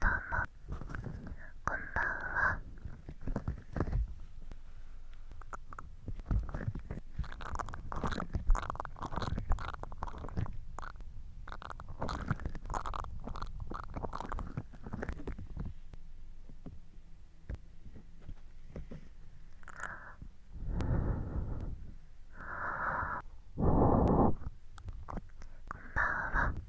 どうもこんばんはこんばんは。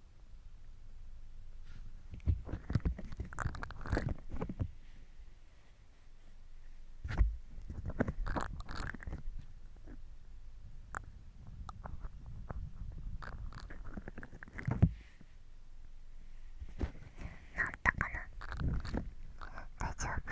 っな大丈夫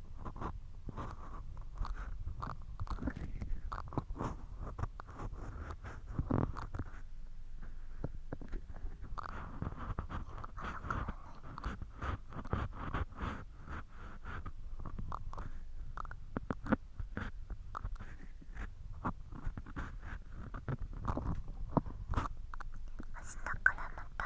明日からまた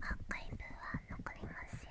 アーカイブは残りますよ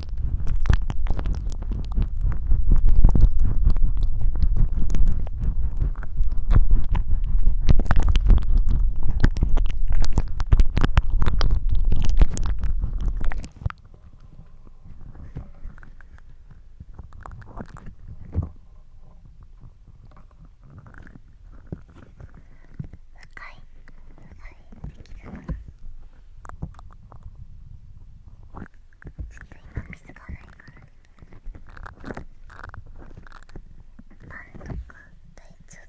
深い深いできたちょっと今水がないからねパンとか大丈夫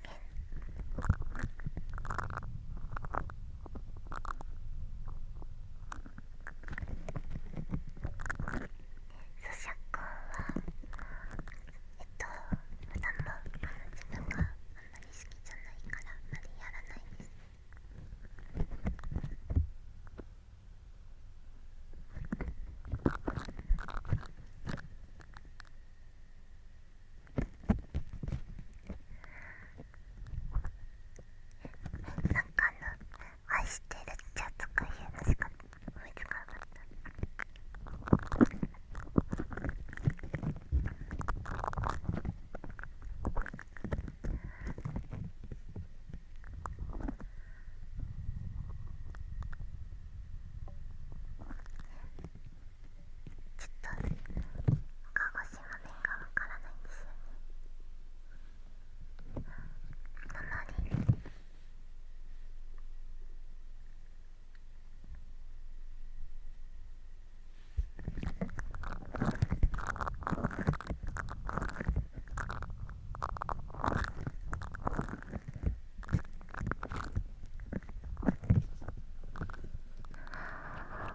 咀嚼音はえっと普段も自分があんまり好きじゃないからあまりやらないです。なんかあの「愛してる」じゃとか言うのしか思いつかなかったちょっと鹿児島弁がわからないんですよねなのああ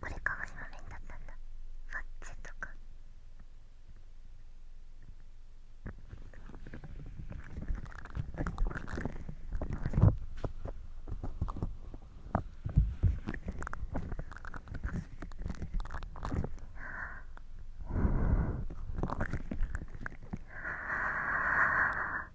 これ鹿児島弁だったんだフッチとか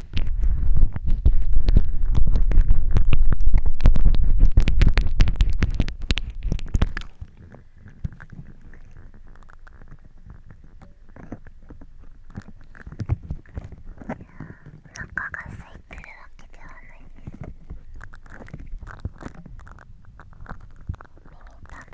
お腹が空いてるわけではないです耳たぶ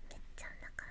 めっちゃお腹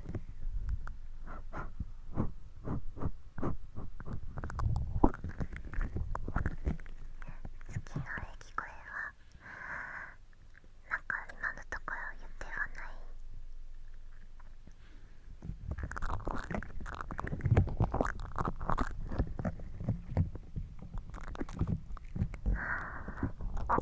き声はなんか今のところ言ってはないああ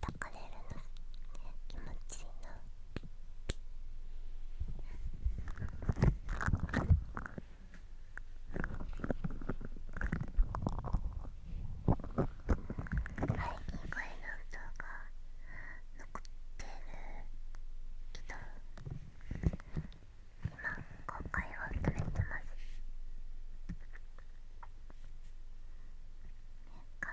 叩かれるの気持ちいいな。い、ん。が。残ってるけど今公開を止めてます完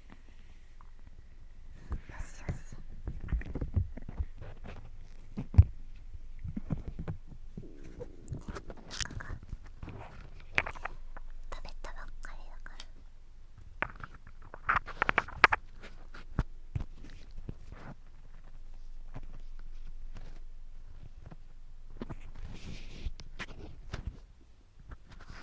よしよし。おが。食べたばっかりだから。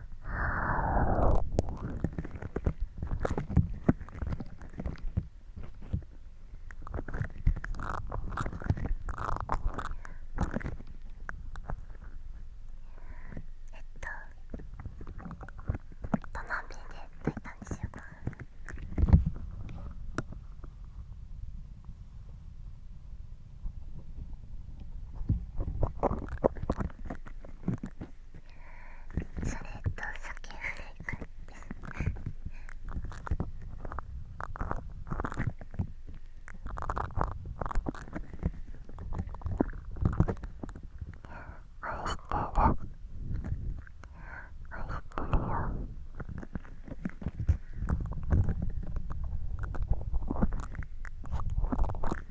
えっと。トナビで泣いたんですよそれと酒フレークです。愛してる愛してるよ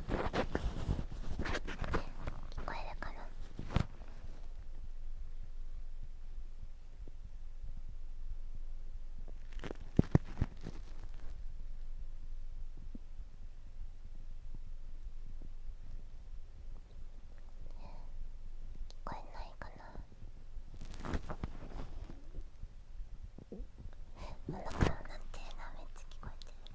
聞こえるかな聞こえないかなお腹をなんてるなめっちゃ聞こえてる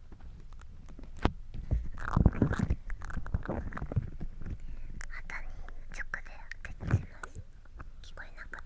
直で開けてます聞こえなかった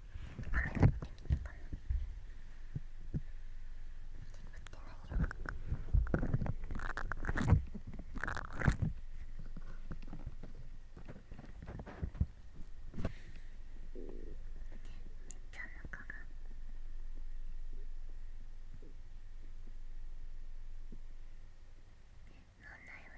問題は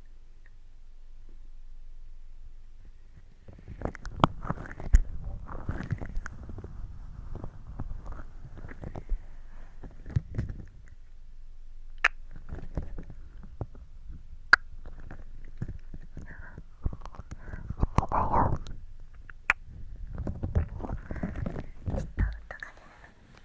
と音が出る。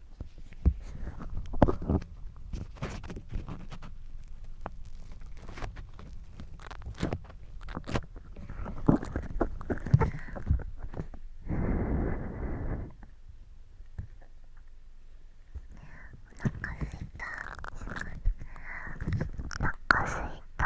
お腹すいた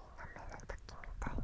舐めるときみたいな。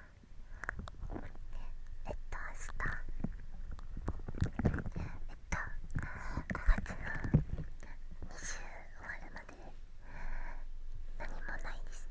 えっと明日えっと5月の20終わるまで何もないです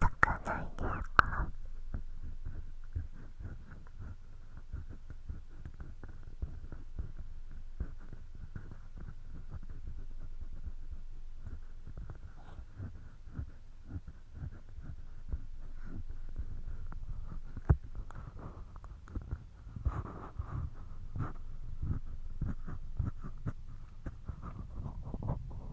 解かないでおこう。「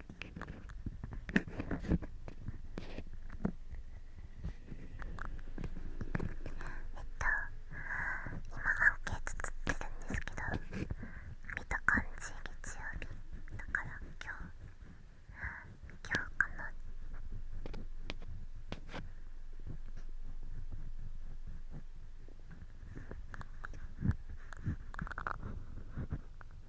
えっと、今、アンケートつってるんですけど見た感じ月曜日だから今日今日かな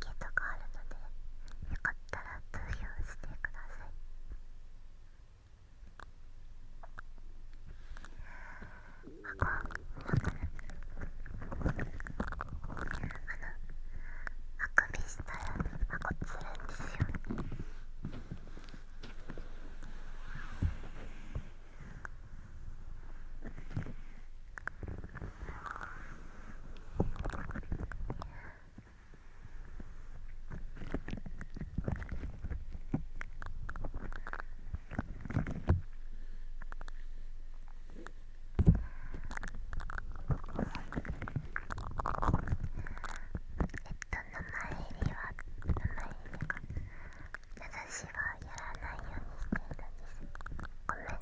ケーとかあるのでよかったら投票してくださいあこう分かるあのあくびしたらあこつるんですよえっと、名前入りは名前私はやらないようにしているんですごめん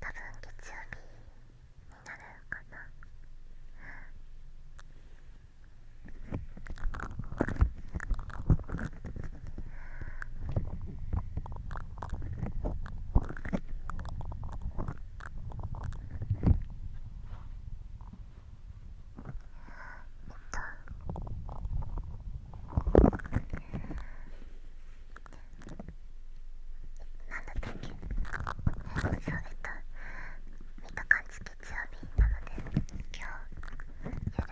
多分月曜日になるかなえっとなんだったっけそうえっと見た感月曜日なので今日夜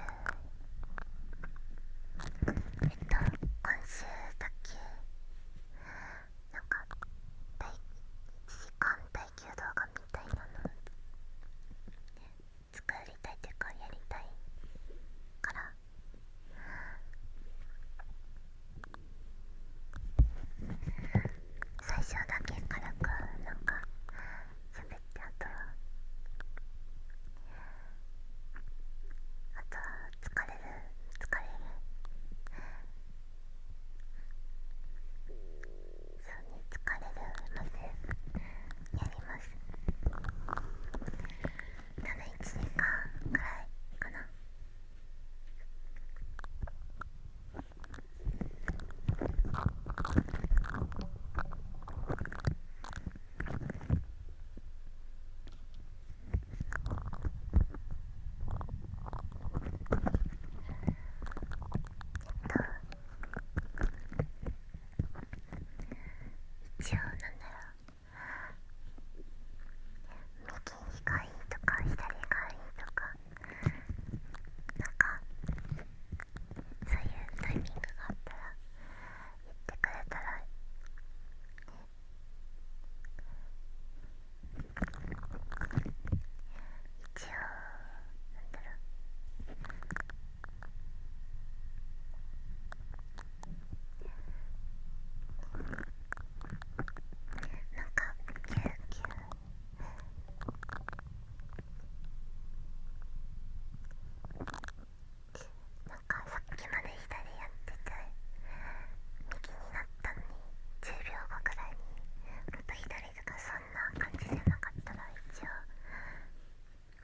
えっと今週だけなんか第1時間耐久動画みたいなの作りたいというかやりたいから最初だけ辛くなんか喋ってあとはあとは疲れる疲れるそうね疲れるのでやります。多分1時間くらいかな一応なだろう右がいいとか左がいいとかなんかそういうタイミングがあったら言ってくれたら一応なんだろうなんかキューキューなんかさっきまで左やってて右になったのに10秒後くらいにもと左とかそんな感じじゃなかったら一応。